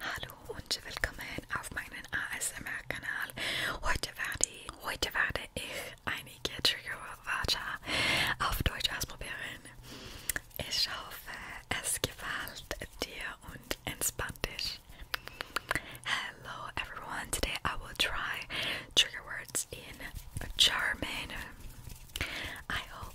Hallo und willkommen auf meinem ASMR-Kanal. Heute werde, ich einige Triggerwörter auf Deutsch ausprobieren. Ich hoffe, es gefällt dir und entspannt dich. Hello everyone, today I will try trigger words in German. I hope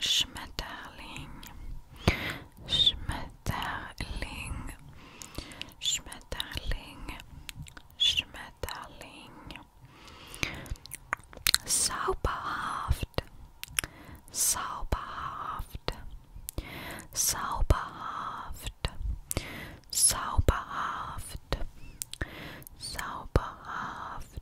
Schmetterling, Schmetterling, Schmetterling, Schmetterling, Zauberhaft, Zauberhaft, Zauberhaft, Zauberhaft, Zauberhaft.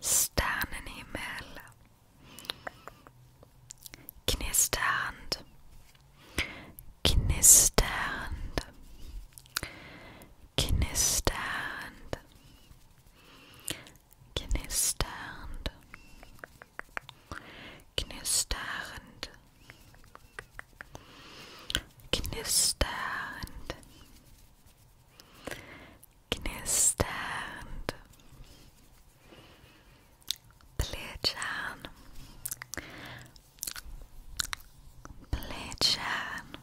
Sternenhimmel Knisternd Knisternd Knisternd Knisternd Knisternd Knisternd. Knisternd. Plätschern. Plätschern. Plätschern.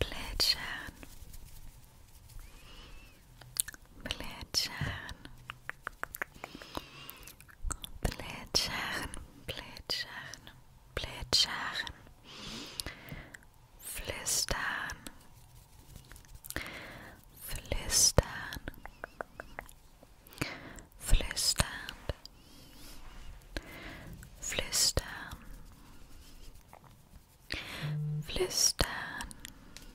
Plätschern. Plätschern. Plätschern, plätschern, plätschern, flüstern, flüstern, flüsternd, flüstern, flüstern,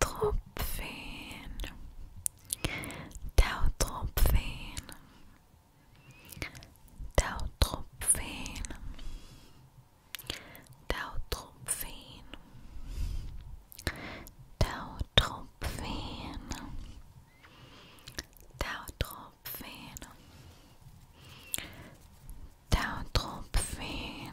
Tropfen, Tautropfen, Tautropfen, Tautropfen, Tautropfen, Tautropfen, Tautropfen.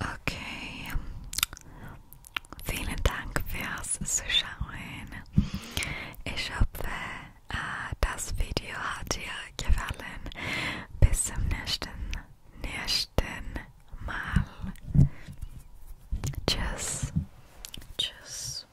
Okay. Vielen Dank fürs Zuschauen. Ich hoffe, äh, das Video hat dir gefallen. Bis zum nächsten, nächsten Mal. Tschüss. Tschüss.